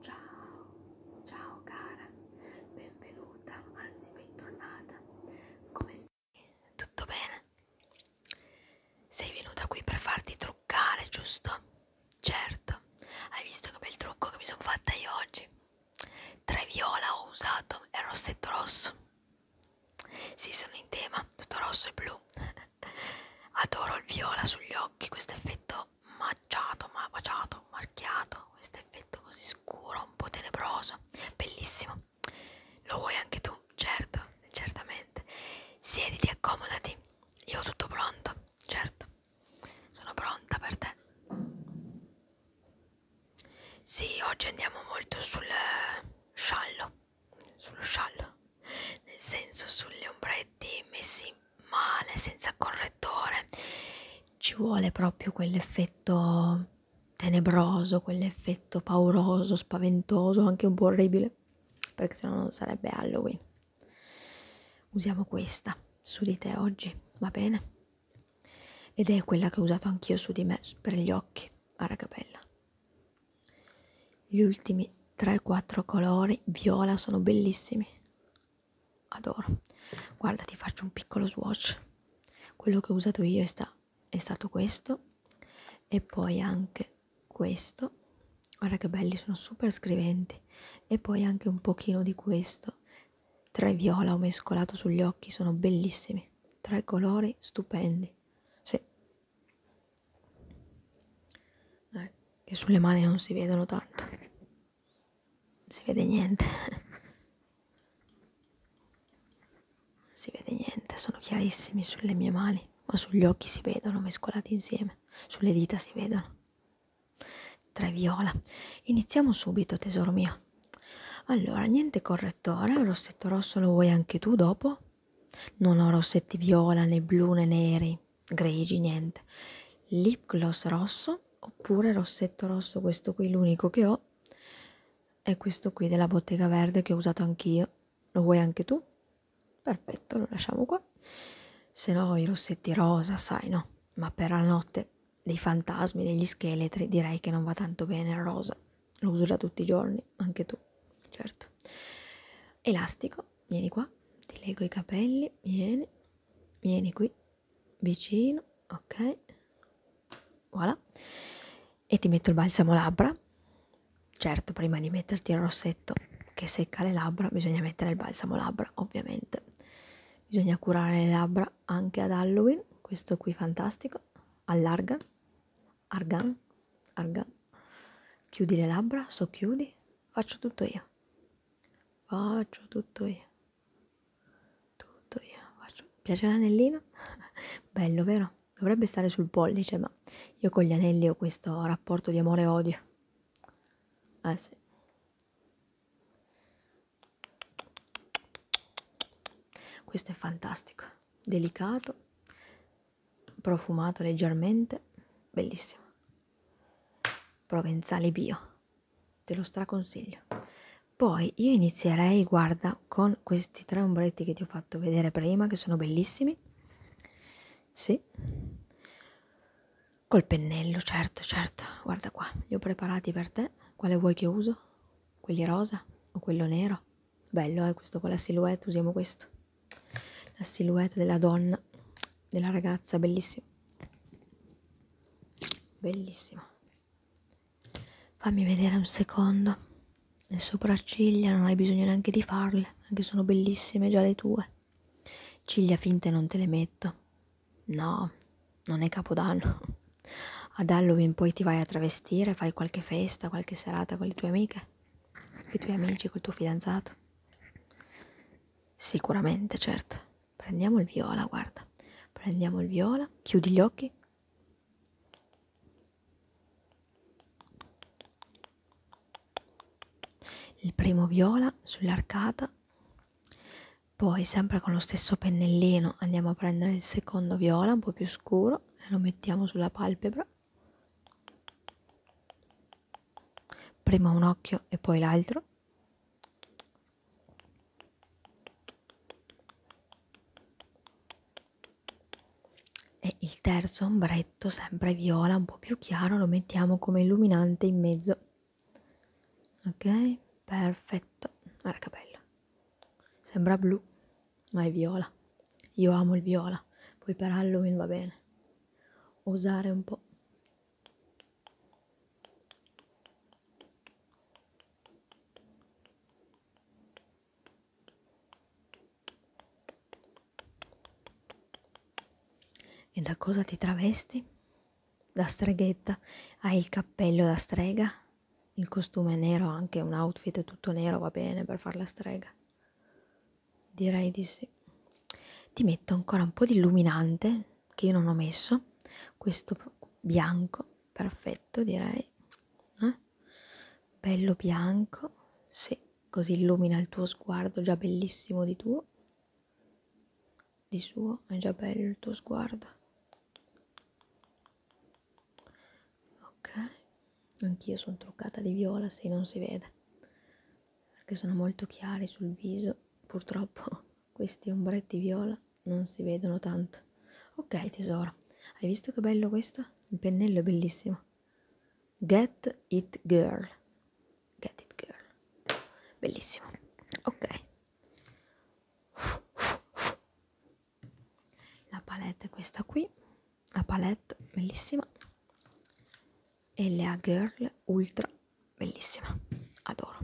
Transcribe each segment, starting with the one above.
Ciao, ciao cara, benvenuta, anzi bentornata. Come stai? Tutto bene? Sei venuta qui per farti truccare, giusto? Certo, hai visto che bel trucco che mi sono fatta io oggi? Tre viola ho usato e rossetto rosso. Sì, sono in tema, tutto rosso e blu. Adoro il viola sugli occhi, questo effetto macciato, ma baciato, marchiato, questo effetto così scuro, un po' tenebroso, bellissimo. Lo vuoi anche tu? Certo, certamente. Siediti, accomodati. Io ho tutto pronto, certo. Sono pronta per te. Sì, oggi andiamo molto sul eh, sciallo. Sullo sciallo nel senso sulle ombretti messi male senza correttore ci vuole proprio quell'effetto tenebroso quell'effetto pauroso spaventoso anche un po' orribile perché sennò non sarebbe Halloween usiamo questa su di te oggi va bene ed è quella che ho usato anch'io su di me per gli occhi a ragabella gli ultimi 3-4 colori viola sono bellissimi adoro guarda ti faccio un piccolo swatch quello che ho usato io è, sta è stato questo e poi anche questo guarda che belli sono super scriventi e poi anche un pochino di questo tre viola ho mescolato sugli occhi sono bellissimi tre colori stupendi sì eh, che sulle mani non si vedono tanto. Non si vede niente. Non si vede niente, sono chiarissimi sulle mie mani, ma sugli occhi si vedono mescolati insieme, sulle dita si vedono. Tre viola. Iniziamo subito, tesoro mio. Allora, niente correttore, il rossetto rosso lo vuoi anche tu dopo? Non ho rossetti viola, né blu, né neri, grigi, niente. Lip gloss rosso oppure rossetto rosso, questo qui l'unico che ho. È questo qui della Bottega Verde che ho usato anch'io. Lo vuoi anche tu? Perfetto, lo lasciamo qua. Se no i rossetti rosa, sai no, ma per la notte dei fantasmi, degli scheletri, direi che non va tanto bene il rosa. Lo uso già tutti i giorni, anche tu, certo. Elastico, qua, vieni qua, ti leggo i capelli, vieni, vieni qui, vicino, ok, voilà, e ti metto il balsamo labbra, certo prima di metterti il rossetto che secca le labbra bisogna mettere il balsamo labbra, ovviamente, bisogna curare le labbra anche ad Halloween, questo qui fantastico, allarga, argan, argan, chiudi le labbra, socchiudi, faccio tutto io, faccio tutto io, tutto io, faccio, piace l'anellino? Bello vero? Dovrebbe stare sul pollice, ma io con gli anelli ho questo rapporto di amore e odio. Eh sì. Questo è fantastico, delicato, profumata leggermente, bellissima. Provenzale bio, te lo straconsiglio. Poi io inizierei, guarda, con questi tre ombretti che ti ho fatto vedere prima, che sono bellissimi. Sì. Col pennello, certo, certo. Guarda qua, li ho preparati per te. Quale vuoi che uso? Quelli rosa o quello nero? bello eh questo con la silhouette usiamo questo la silhouette della donna della ragazza bellissimo bellissimo fammi vedere un secondo le sopracciglia non hai bisogno neanche di farle anche sono bellissime già le tue ciglia finte non te le metto no non è capodanno ad Halloween poi ti vai a travestire fai qualche festa qualche serata con le tue amiche i tuoi amici, col tuo fidanzato? Sicuramente, certo. Prendiamo il viola, guarda. Prendiamo il viola, chiudi gli occhi. Il primo viola sull'arcata, poi sempre con lo stesso pennellino andiamo a prendere il secondo viola, un po' più scuro, e lo mettiamo sulla palpebra prima un occhio e poi l'altro. E il terzo ombretto, sempre viola, un po' più chiaro, lo mettiamo come illuminante in mezzo. Ok, perfetto. Guarda che bello. Sembra blu, ma è viola. Io amo il viola, poi per Halloween va bene. Usare un po'. E da cosa ti travesti? Da streghetta? Hai il cappello da strega? il costume nero, anche un outfit tutto nero va bene per far la strega. Direi di sì. Ti metto ancora un po' di illuminante che io non ho messo, questo bianco, perfetto direi. Eh? Bello bianco, sì, così illumina il tuo sguardo già bellissimo di tuo. Di suo è già bello il tuo sguardo ok anch'io sono truccata di viola se non si vede perché sono molto chiari sul viso purtroppo questi ombretti viola non si vedono tanto ok tesoro hai visto che bello questo il pennello è bellissimo get it girl get it girl bellissimo ok la palette è questa qui la palette bellissima e Lea Girl ultra bellissima adoro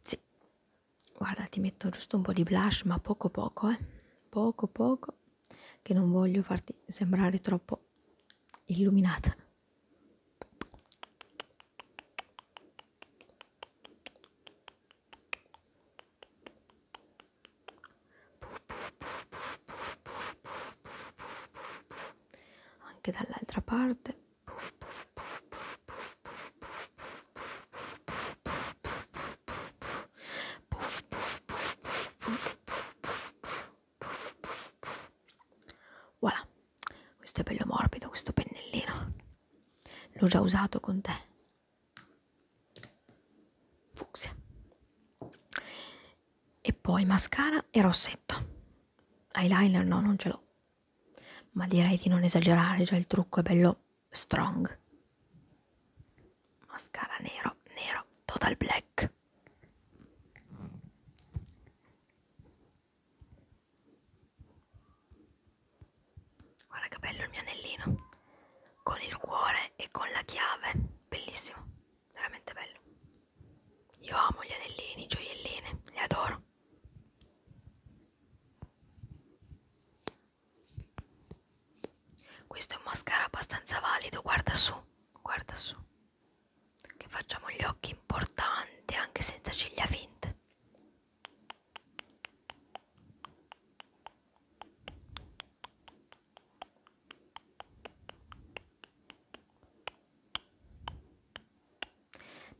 sì guarda ti metto giusto un po' di blush ma poco poco eh poco poco che non voglio farti sembrare troppo illuminata anche dall'altra parte voilà questo è bello morbido, questo pennellino. L'ho già usato con te. Fucsia. E poi mascara e rossetto. Eyeliner no, non ce l'ho. Ma direi di non esagerare, già il trucco è bello strong. Mascara nero, nero, total black. Guarda che bello il mio anellino con il cuore e con la chiave, bellissimo, veramente bello. Io amo gli anellini, i gioiellini, li adoro. Questo è un mascara abbastanza valido, guarda su, guarda su. Che facciamo gli occhi importanti anche senza ciglia finte.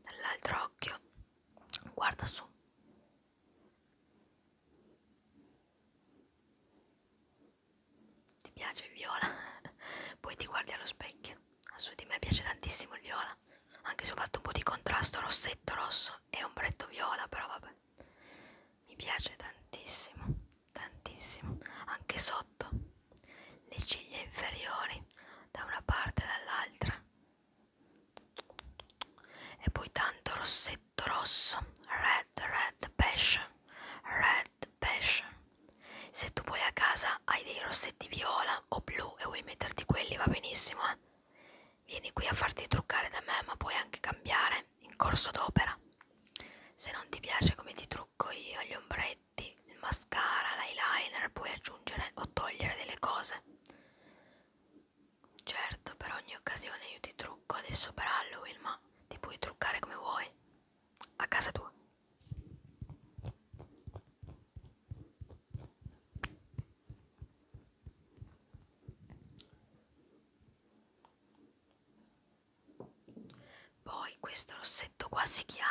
Dall'altro occhio guarda su. Ti piace il viola? Poi ti guardi allo specchio su di me piace tantissimo il viola anche se ho fatto un po' di contrasto rossetto rosso e ombretto viola però vabbè mi piace tantissimo tantissimo anche sotto le ciglia inferiori da una parte e dall'altra e poi tanto rossetto rosso red red passion red passion se tu poi a casa hai dei rossetti viola o blu e vuoi metterti quelli va benissimo. Eh? Vieni qui a farti truccare da me, ma puoi anche cambiare in corso d'opera. Se non ti piace come ti trucco io, gli ombretti, il mascara, l'eyeliner, puoi aggiungere o togliere delle cose. Certo, per ogni occasione io ti trucco adesso per Halloween, ma ti puoi truccare come vuoi. A casa tua. Poi questo rossetto qua si chiama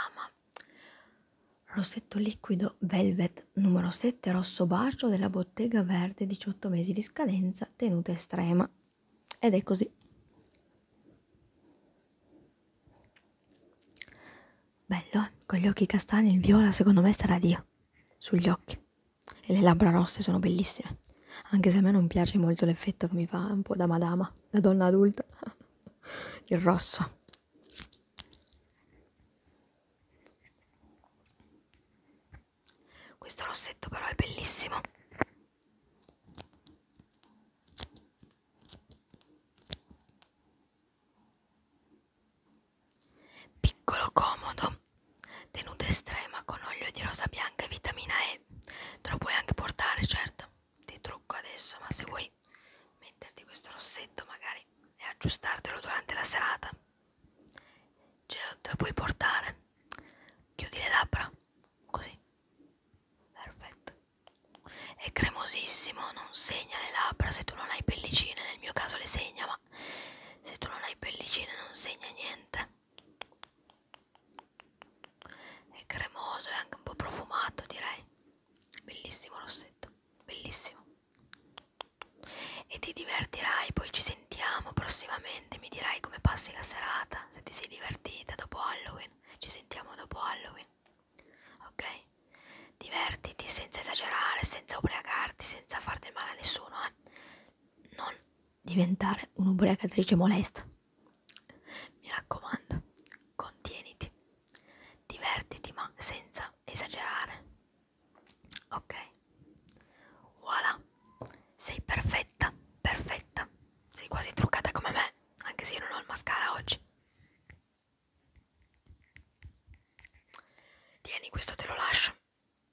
Rossetto liquido Velvet numero 7 rosso bacio della bottega verde 18 mesi di scadenza tenuta estrema ed è così Bello, eh? con gli occhi castani il viola secondo me starà Dio sugli occhi. E le labbra rosse sono bellissime, anche se a me non piace molto l'effetto che mi fa un po' da madama, da donna adulta. il rosso. Questo rossetto però è bellissimo. Piccolo comodo, tenuta estrema con olio di rosa bianca e vitamina E. Te lo puoi anche portare, certo. Ti trucco adesso, ma se vuoi metterti questo rossetto magari e aggiustartelo durante la serata, ce lo, te lo puoi portare. Chiudi le labbra, così. Perfetto. È cremosissimo, non segna le labbra se tu non hai pellicine, nel mio caso le segna, ma se tu non hai pellicine non segna niente. È cremoso e anche un po' profumato, direi. Bellissimo rossetto, bellissimo. E ti divertirai, poi ci sentiamo prossimamente, mi dirai come passi la serata, se ti sei divertita dopo Halloween. Ci sentiamo dopo Halloween. Ok? Divertiti senza esagerare, senza ubriacarti, senza far del male a nessuno. Eh? Non diventare un'ubriacatrice molesta. Mi raccomando, contieniti. Divertiti ma senza esagerare. Ok? Voilà. Sei perfetta, perfetta. Sei quasi truccata come me me, anche se io non ho il mascara oggi. Tieni, questo te lo lascio.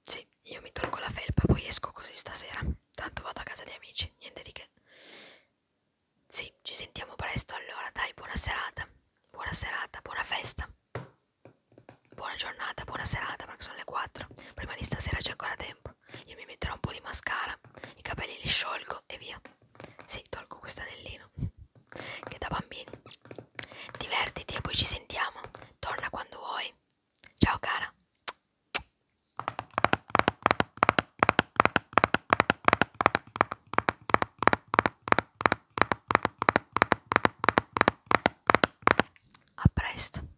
Sì, io mi tolgo la felpa e poi esco così stasera. Tanto vado a casa di amici, niente di che. Sì, ci sentiamo presto allora, dai, buona serata. Buona serata, buona festa. Buona giornata, buona serata, perché sono le 4. Prima di stasera c'è ancora tempo. Io mi metterò un po' di mascara, i capelli li sciolgo e via. Sì, tolgo questo anellino che da bambini. Divertiti e poi ci sentiamo. Torna quando vuoi. Ciao cara. A presto.